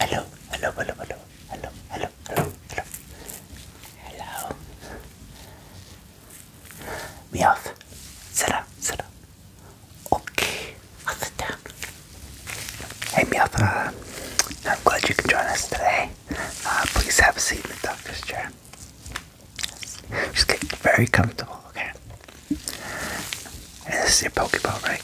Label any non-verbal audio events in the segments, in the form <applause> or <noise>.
Hello, hello, hello, hello, hello, hello, hello, hello. We off. Sit up, sit up. Okay, i Hey, Miatha, uh, I'm glad you can join us today. Uh, please have a seat in the doctor's chair. Just get very comfortable, okay? this is your Pokeball, right?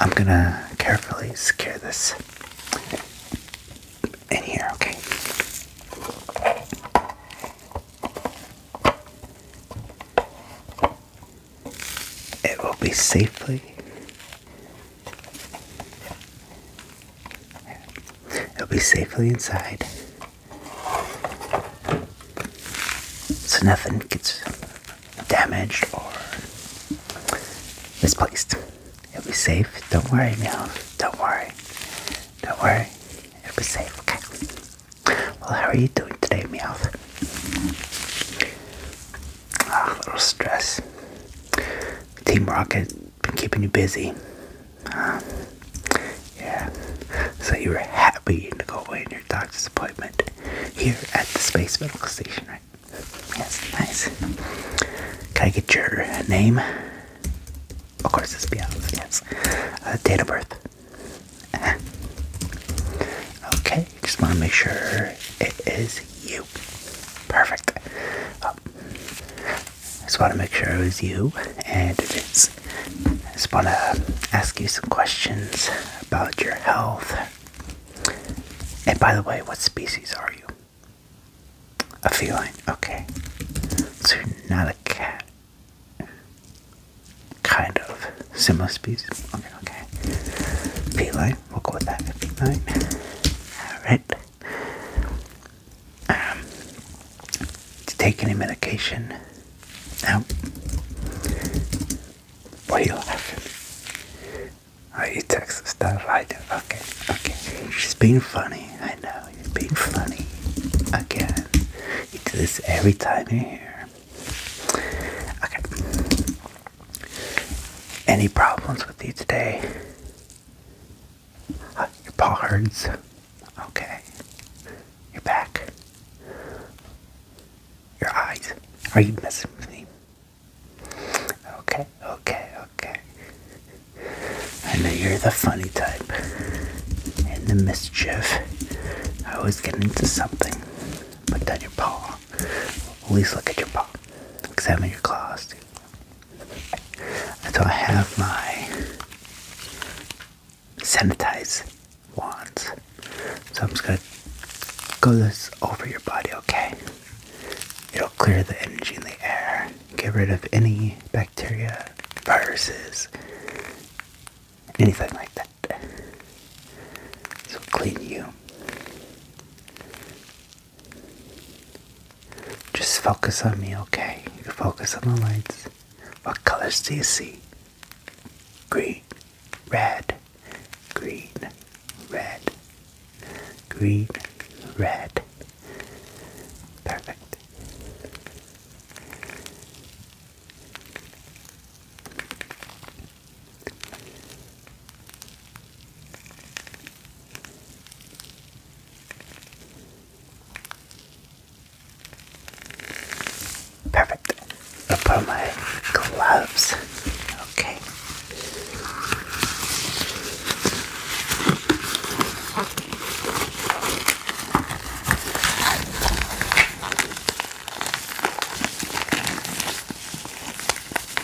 I'm gonna carefully secure this in okay? It will be safely It'll be safely inside. So nothing gets damaged or misplaced. It'll be safe. Don't worry now. Don't worry. Don't worry. It'll be safe. Okay. Well, how are you doing today, Meowth? Ah, a little stress. Team Rocket been keeping you busy. Yeah. So you were happy to go away in your doctor's appointment here at the Space Medical Station, right? Yes, nice. Can I get your name? Of course, it's Bialis, yes. Uh, date of birth. Uh-huh. Okay, just want to make sure it is you. Perfect. Oh. I just want to make sure it was you, and it is. I just want to ask you some questions about your health. And by the way, what species are you? A feline, okay. So you're not a cat. Kind of. Similar species. Okay, okay. Feline, we'll go with that. Feline. Alright. Um, to take any medication. Now, what are you laughing? Are oh, you Texas that right there? Okay, okay. She's being funny. I know. You're being funny. Again. You do this every time you're here. Okay. Any problems with you today? Uh, your paw hurts. Okay. Your back. Your eyes. Are you messing with me? Okay, okay, okay. I know you're the funny type. And the mischief. I always get into something. Put down your paw. At least look at your paw. Examine your claws so I have my sanitize wands. So I'm just gonna go this over your body, okay? It'll clear the energy in the air, get rid of any bacteria, viruses, anything like that. So clean you. Just focus on me, okay? You focus on the lights. What colors do you see? Green, red, green, red, green, red. Perfect. Perfect. I'll put my gloves. Okay.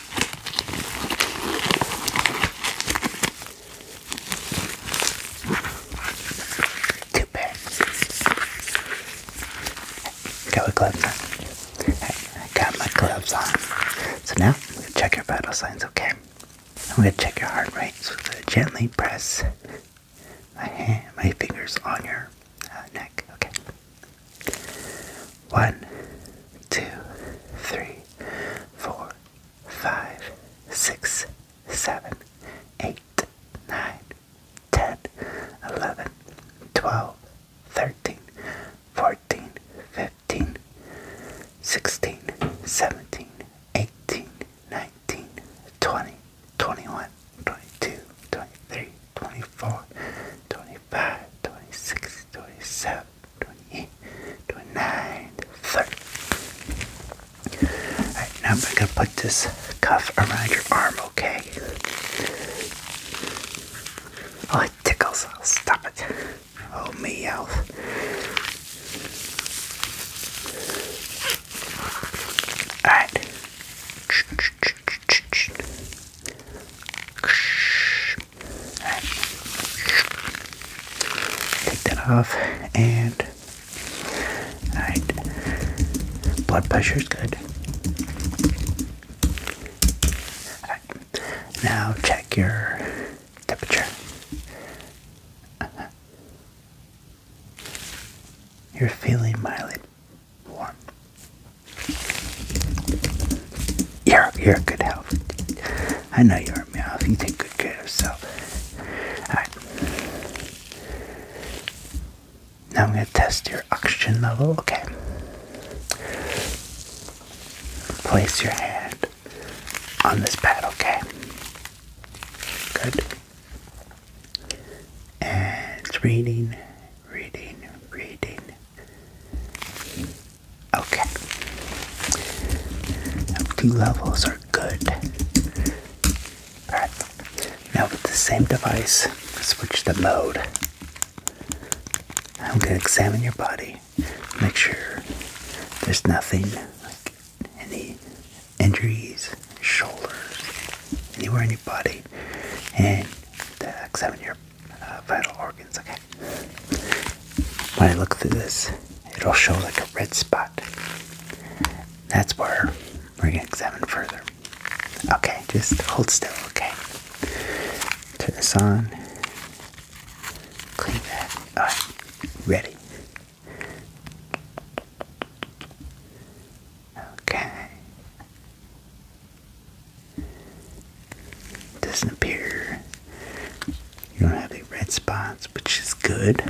Two pairs. Got my gloves on. I got my gloves on. So now I'm gonna check your vital signs, okay? I'm gonna check your heart rate. So I'm gently press my my fingers on your uh, neck, okay? One, two, three, four, five, six, seven, eight, nine, ten, eleven, twelve, thirteen, fourteen, fifteen, sixteen, seventeen, eighteen, nineteen, twenty, twenty-one, twenty-two, twenty-three, twenty-four, twenty-five, twenty-six, twenty-seven. 28, 29, now I'm going to put this cuff around your arm, okay? Oh, it tickles. I'll stop it. Oh, me out. Alright. Take that off and alright. Blood pressure is good. Now check your temperature. Uh-huh. You're feeling mildly warm. You're, you're in good health. I know you're in good health. You take good care of yourself. Now I'm going to test your oxygen level. Okay. Place your hand on this pad, okay? Good. And reading, reading, reading. Okay. Two levels are good. Alright. Now with the same device, switch the mode. I'm gonna examine your body. Make sure there's nothing like any injuries, shoulders, anywhere in your body. And uh, examine your uh, vital organs, okay? When I look through this, it'll show like a red spot. That's where we're gonna examine further. Okay, just hold still, okay? Turn this on. Clean that. Alright, ready. Okay. Doesn't appear you don't have any red spots, which is good.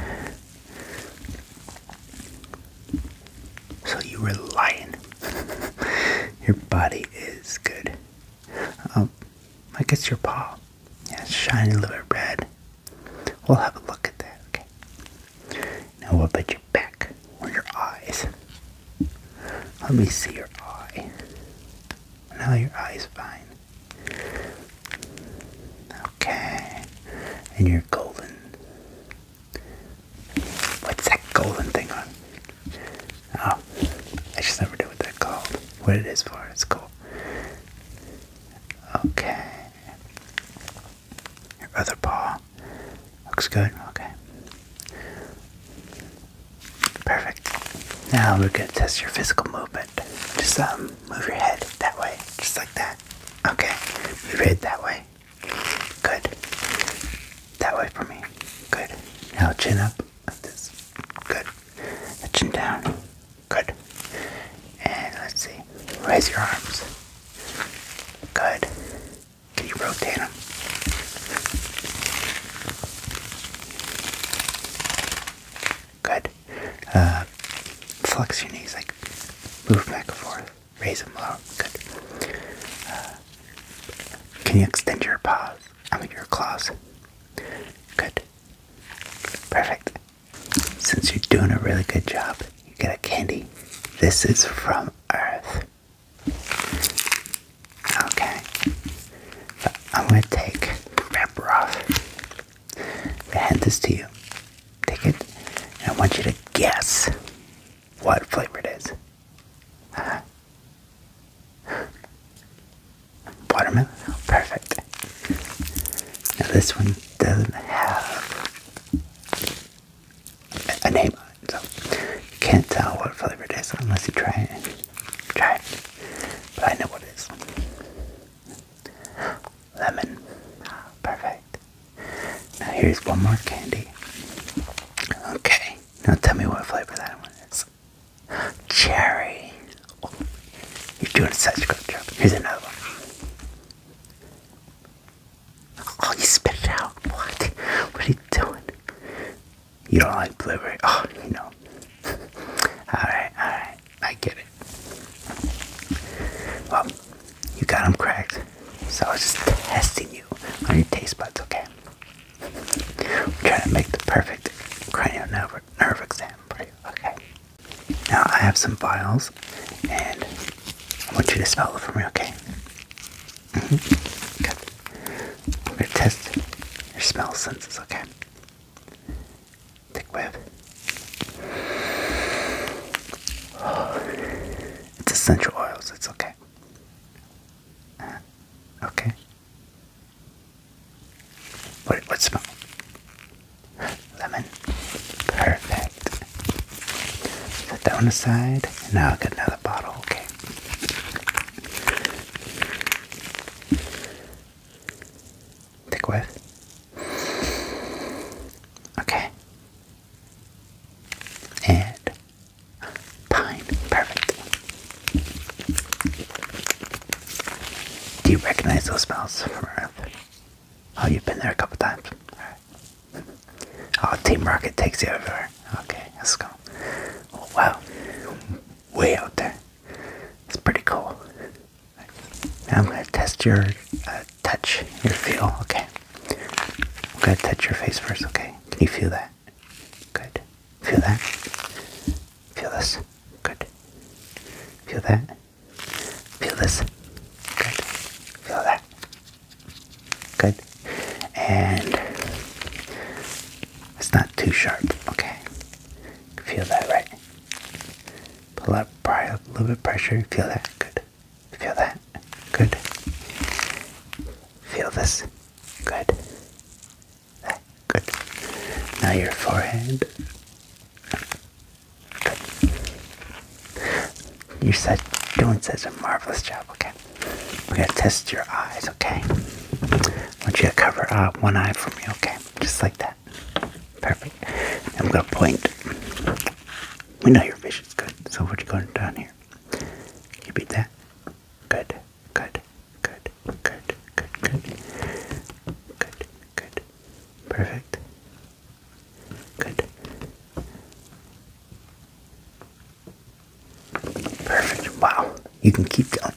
So you were lying. <laughs> your body is good. Um, I guess your paw. Yeah, it's shiny a little bit red. We'll have a look at that, okay? Now what about your back or your eyes? Let me see your eye. Now your eye's fine. Okay. And your golden. What's that golden thing on? Oh, I just never knew what that's called. What it is for. It's cool. Okay. Your other paw. Looks good. Okay. Perfect. Now we're gonna test your physical movement. Just um, move your head that way, just like that. Okay. Move your that way. Good. That way for me. Good. Now chin up like Good. chin down. Good. And let's see. Raise your arms. Good. Can you rotate them? Good. Uh, flex your knees, like move back and forth, raise them low. Good. Uh, can you extend your paws? I mean, your claws. Good. Perfect. Since you're doing a really good job, you get a candy. This is from Earth. Okay. I'm gonna take wrapper off. I hand this to you. Take it, I want you to guess what flavor it is. Uh Watermelon? Oh, perfect. Now this one doesn't have a name so can't tell what flavor it is unless you try it. Try it, but I know what it is. Lemon, perfect. Now here's one more candy. Okay, now tell me what flavor that one is. Cherry. you're doing such a good job. Here's another one. Oh, you spit it out. What? What are you doing? You don't like blueberry? Oh, you know. <laughs> alright, alright. I get it. Well, you got them cracked. So I was just testing you on your taste buds, okay? I'm trying to make the perfect cranial nerve, nerve exam for you, okay? Now I have some files, and I want you to spell them for me, okay? Mm-hmm. We're gonna test your smell senses, okay? Thick whiff. it's essential oils, it's okay. Uh, okay. What, what smell? Lemon. Perfect. Set that one aside. And now I'll get another bottle, okay? Take wave. Okay. And pine. Perfect. Do you recognize those smells Oh, you've been there a couple times. Oh, Team Rocket takes you everywhere. Okay, let's go. Oh, wow. Way out there. It's pretty cool. I'm going to test your uh, touch, your feel. Okay. I'm going to touch your face first, okay? Can you feel that? Good. Feel that? Feel this? Good. Feel that? Feel this? Good. Feel that? Good. And it's not too sharp. Okay. Feel that, right? Pull up, pry up a little bit pressure. Feel that. Good. Feel that. Good. Feel this. Good. That. Good. Now your forehead. Good. You're doing such a marvelous job, okay? We're going to test your eyes, okay? I want you to cover uh, one eye for me, okay? Just like that. Perfect. I'm going to point. We know your vision's good, so what are you going down here? You beat that? Good, good, good, good, good, good, good, good. Perfect. Good. Perfect. Wow. You can keep going.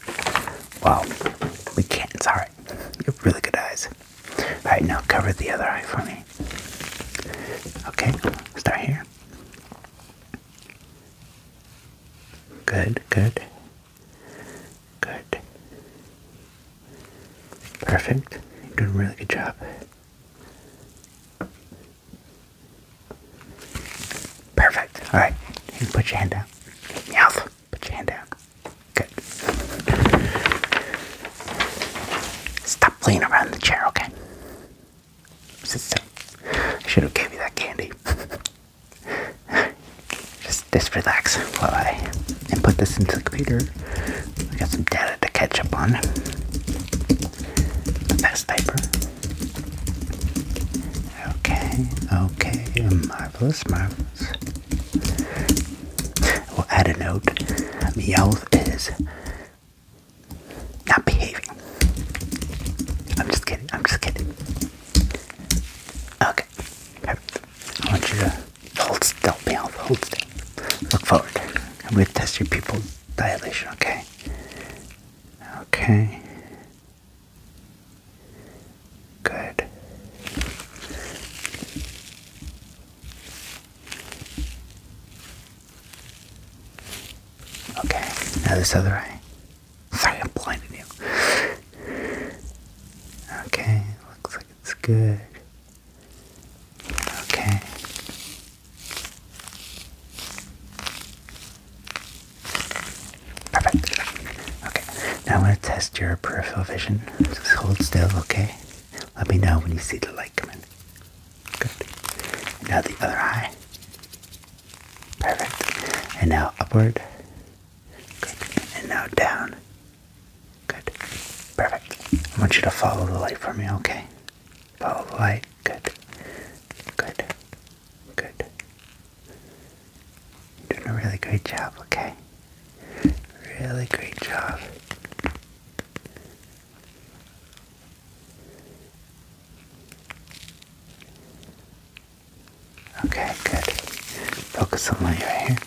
Wow. We can't. It's alright. You have really good eyes. Alright, now cover the other eye for me. Okay, start here. Good, good. Good. Perfect. You're doing a really good job. Perfect. All right. put your hand down. Yes. Put your hand down. Good. Stop playing around the chair, okay? Sit should have gave you that candy. <laughs> just, relax while I and put this into the computer. I got some data to catch up on. Best paper. Okay, okay, marvelous, marvelous. We'll add a note. Meowth is not behaving. I'm just kidding, I'm just kidding. Okay, perfect. I want you to hold still, Meowth, hold still. Look forward. I'm going to test your pupils dilation, okay? Okay. Good. Okay, now this other eye. Sorry, I'm blinding you. Okay, looks like it's good. Okay. Perfect. Okay. Now I'm going to test your peripheral vision. Just hold still, okay? Let me know when you see the light coming. Good. Now the other eye. Perfect. And now upward. Good. And now down. Good. Perfect. I want you to follow the light for me, okay? All oh, right, good, good, good. Doing a really great job, okay? Really great job. Okay, good. Focus on my hair.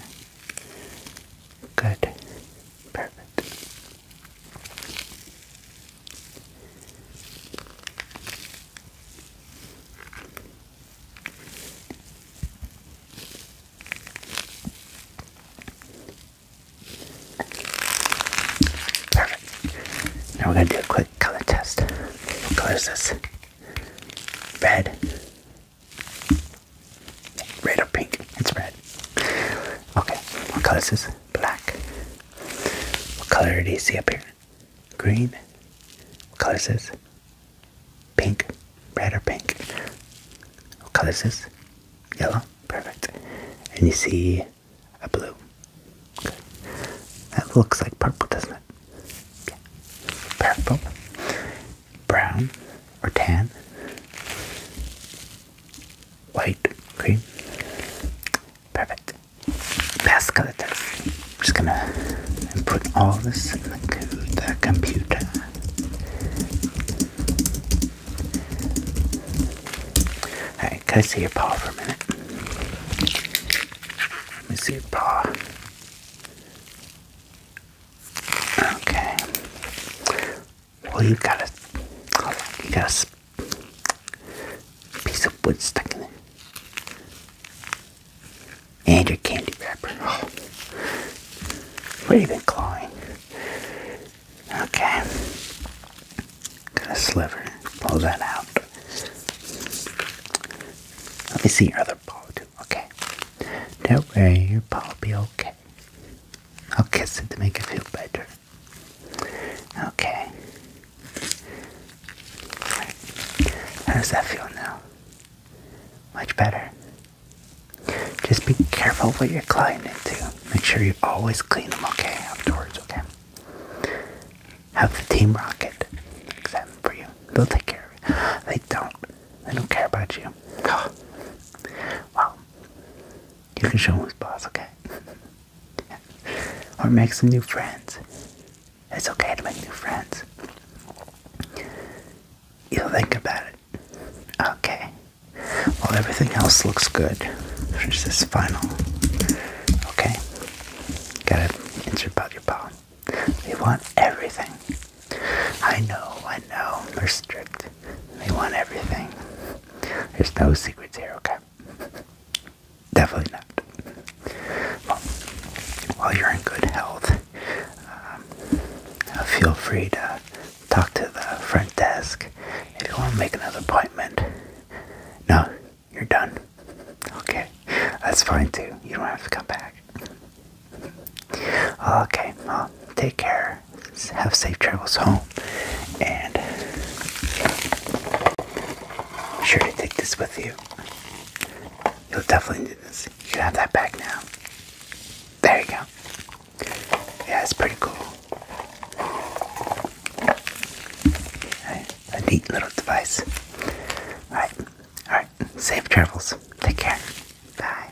Good. Perfect. Now we're going to do a quick color test. close this. Red. Red or pink? It's red. Okay, what color is this? Black. What color do you see up here? Green. What color is this? Pink. Red or pink? What color is this? Yellow. Perfect. And you see a blue. That looks like purple, doesn't it? Purple. Brown or tan? white. Okay, perfect. Pascal text. I'm just gonna put all this in the, computer. Alright, can I see your paw for a minute? Let me see your paw. Okay. Oh, you got a, you got a piece of wood stuck in it, and your candy wrapper. Oh. What are you been clawing? Okay, got a sliver. Pull that out. Let me see your other paw too. Okay, don't worry, your paw will be okay. I'll kiss it to make it feel better. Okay. How does that feel now? Much better. Just be careful what you're climbing into. Make sure you always clean them okay afterwards, okay? Have the team rocket examine for you. They'll take care of you. They don't. They don't care about you. <sighs> well, you can show who's boss, okay? <laughs> or make some new friends. It's okay to make new friends. You'll think about it. Okay. Well, everything else looks good. There's this final. Okay? Gotta insert about your palm. They want everything. I know, I know. They're strict. They want everything. There's no secrets here, okay? Definitely not. Well, while you're in good health, um, feel free to talk to the front desk if you want to make another appointment. No, you're done. Okay, that's fine too. You don't have to come back. Okay, well, take care have safe travels home, and be sure to take this with you. You'll definitely need this. You can have that back now. There you go. Yeah, it's pretty cool. A neat little device. Alright, alright. Safe travels. Take care. Bye.